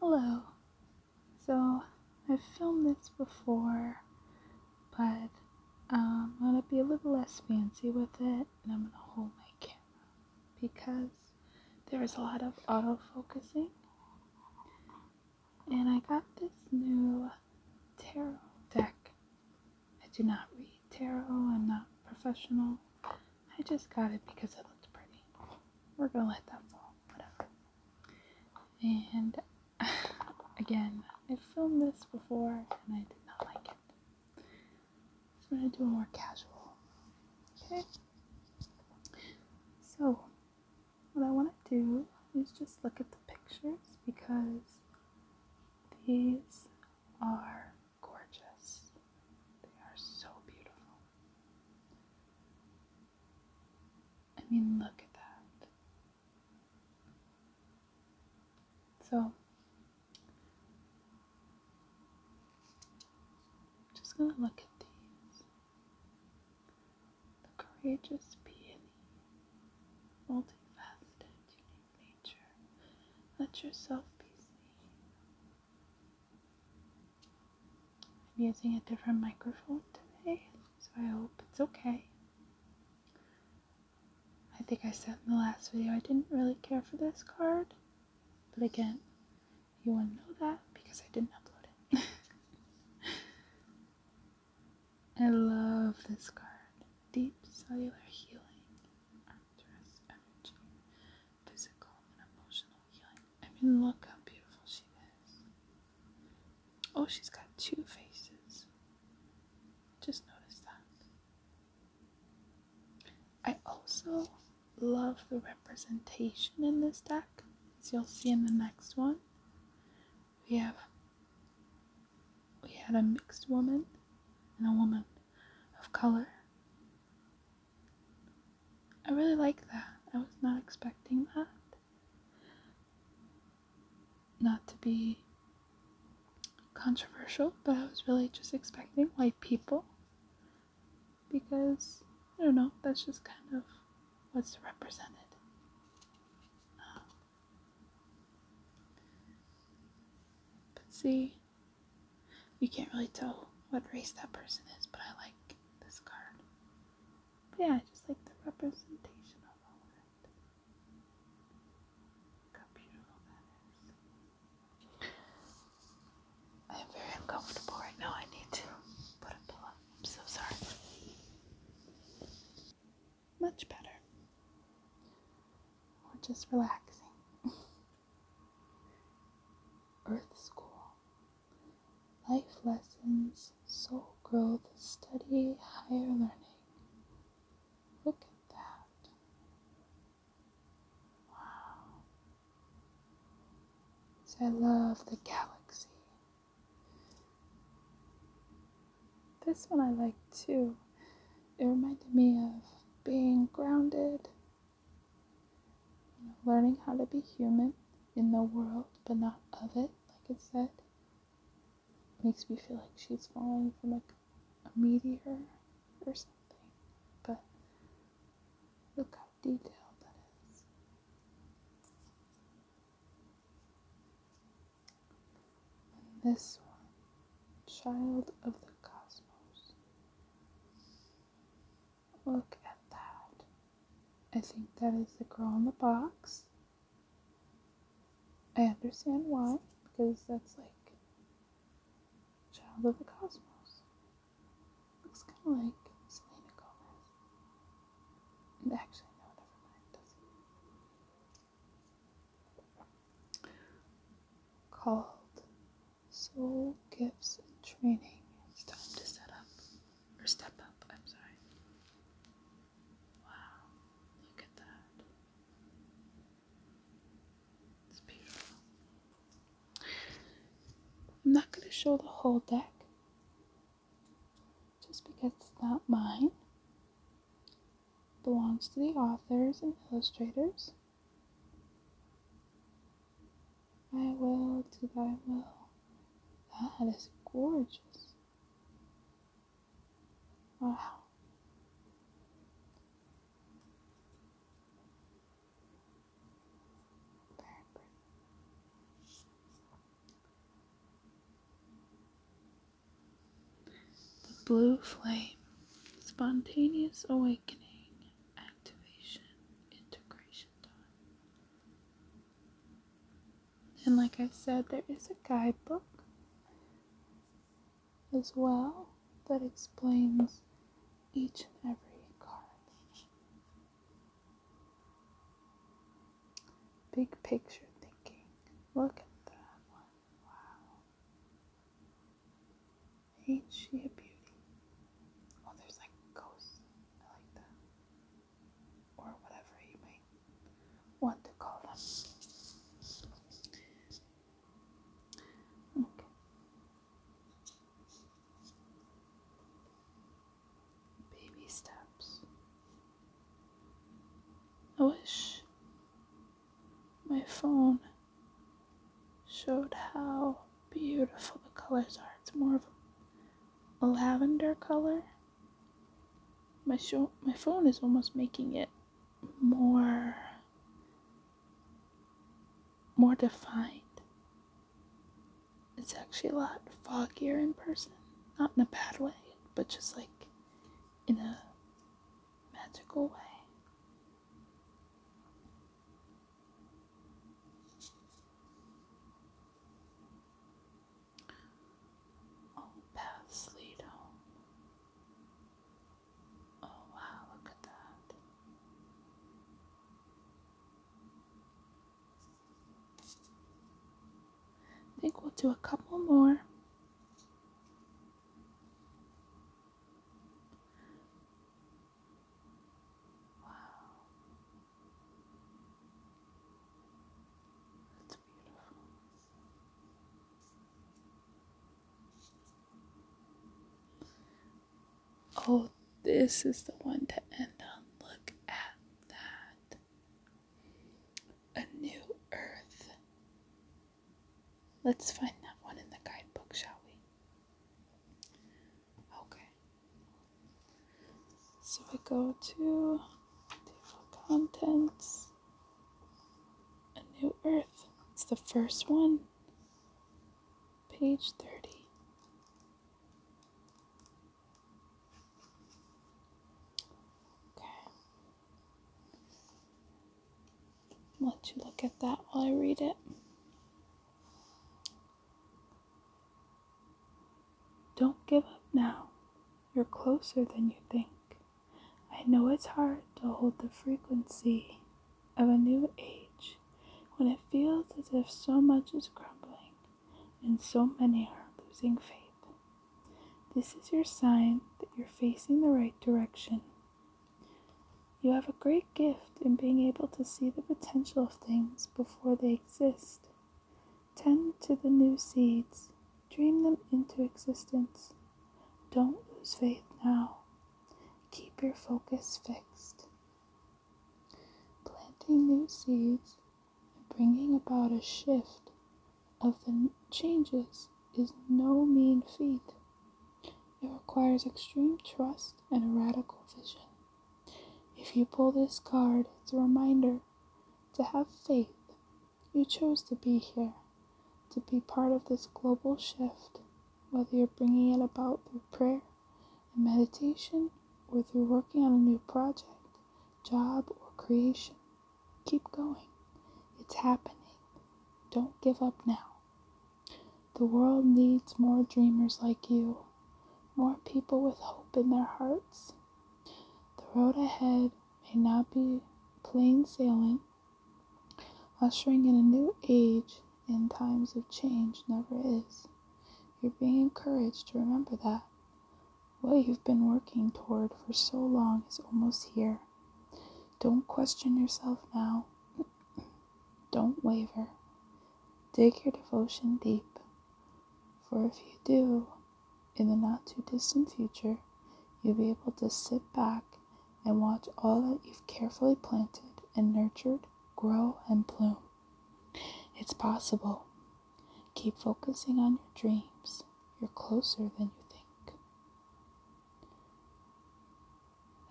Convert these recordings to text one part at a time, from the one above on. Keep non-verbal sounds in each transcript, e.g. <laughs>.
Hello. So, I've filmed this before, but um, I'm gonna be a little less fancy with it and I'm gonna hold my camera because there's a lot of auto focusing. And I got this new tarot deck. I do not read tarot, I'm not professional. I just got it because it looked pretty. We're gonna let that fall, whatever. And <sighs> again, I filmed this before and I did not like it. So I'm gonna do a more casual. Okay? So, what I wanna do is just look at the pictures because these are gorgeous. They are so beautiful. I mean, look at that. So, just gonna look at these. The courageous peony, multifaceted, unique nature. Let yourself be seen. I'm using a different microphone today, so I hope it's okay. I think I said in the last video I didn't really care for this card, but again, you wouldn't know that because I didn't upload it. <laughs> I love this card, Deep Cellular Healing energy, physical and emotional healing. I mean, look how beautiful she is. Oh, she's got two faces. Just notice that. I also love the representation in this deck, as you'll see in the next one. We have we had a mixed woman and a woman of color. I really like that. I was not expecting that. Not to be controversial, but I was really just expecting white people because I don't know, that's just kind of what's represented. Um, but see, you can't really tell what race that person is, but I like this card. But yeah, I just like the representation of all of it. I am very uncomfortable right now. I need to put a pillow. I'm so sorry much better. Or just relaxing. <laughs> Earth School. Life lessons, soul growth, study, higher learning. Look at that. Wow. So I love the galaxy. This one I like too. It reminded me of being grounded, you know, learning how to be human in the world but not of it, like it said. makes me feel like she's falling from like a meteor or something. But look how detailed that is. And this one, Child of the Cosmos. Look at that. I think that is the girl in the box. I understand why, because that's like Child of the Cosmos. Looks kind of like Selena Gomez. actually, no, never mind called Soul Gifts and Training. It's time to set up or step up. I'm sorry. Wow, look at that. It's beautiful. I'm not going to show the whole deck. Just because it's not mine belongs to the authors and illustrators. I will do thy will. That is gorgeous. Wow. Very the blue flame, spontaneous awakening, activation, integration And like I said, there is a guidebook as well that explains each and every card. Big picture thinking. Look at that one. Wow. Ain't she a beauty? Oh, there's like ghosts. I like that. Or whatever you might want to call them. Okay baby steps. I wish my phone showed how beautiful the colors are. It's more of a lavender color. My show my phone is almost making it more more defined. It's actually a lot foggier in person. Not in a bad way, but just like in a magical way. All oh, paths lead home. Oh wow, look at that. I think we'll do a couple more. Wow. That's beautiful. Oh, this is the one to end on. Look at that. A new earth. Let's find that one in the guidebook, shall we? Okay. So we go to table contents. A new earth. It's the first one page 30. Okay. let you look at that while I read it. Don't give up now. You're closer than you think. I know it's hard to hold the frequency of a new age when it feels as if so much is crumbling and so many are losing faith. This is your sign that you're facing the right direction. You have a great gift in being able to see the potential of things before they exist. Tend to the new seeds, dream them into existence. Don't lose faith now. Keep your focus fixed. Planting new seeds and bringing about a shift of the changes is no mean feat. It requires extreme trust and a radical vision. If you pull this card, it's a reminder to have faith. You chose to be here, to be part of this global shift, whether you're bringing it about through prayer and meditation or through working on a new project, job, or creation. Keep going. It's happening. Don't give up now. The world needs more dreamers like you, more people with hope in their hearts. The road ahead may not be plain sailing, Ushering in a new age in times of change never is. You're being encouraged to remember that. What you've been working toward for so long is almost here. Don't question yourself now. <clears throat> Don't waver. Dig your devotion deep. For if you do, in the not too distant future, you'll be able to sit back and watch all that you've carefully planted and nurtured grow and bloom. It's possible. Keep focusing on your dreams. You're closer than you think.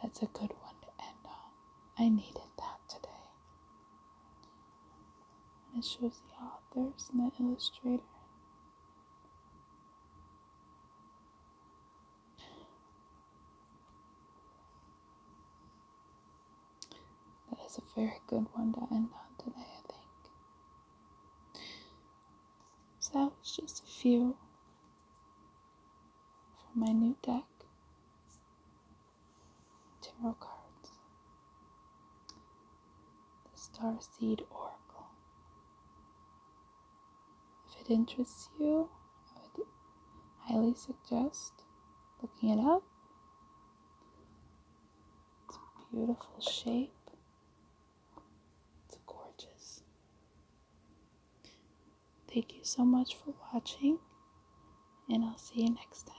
That's a good one to end on. I needed that today. And it shows the authors and the illustrator that is a very good one to end on today, I think. So that was just a few from my new deck. Tarot cards the Star Seed Oracle. If it interests you, I would highly suggest looking it up. It's a beautiful shape. It's gorgeous. Thank you so much for watching, and I'll see you next time.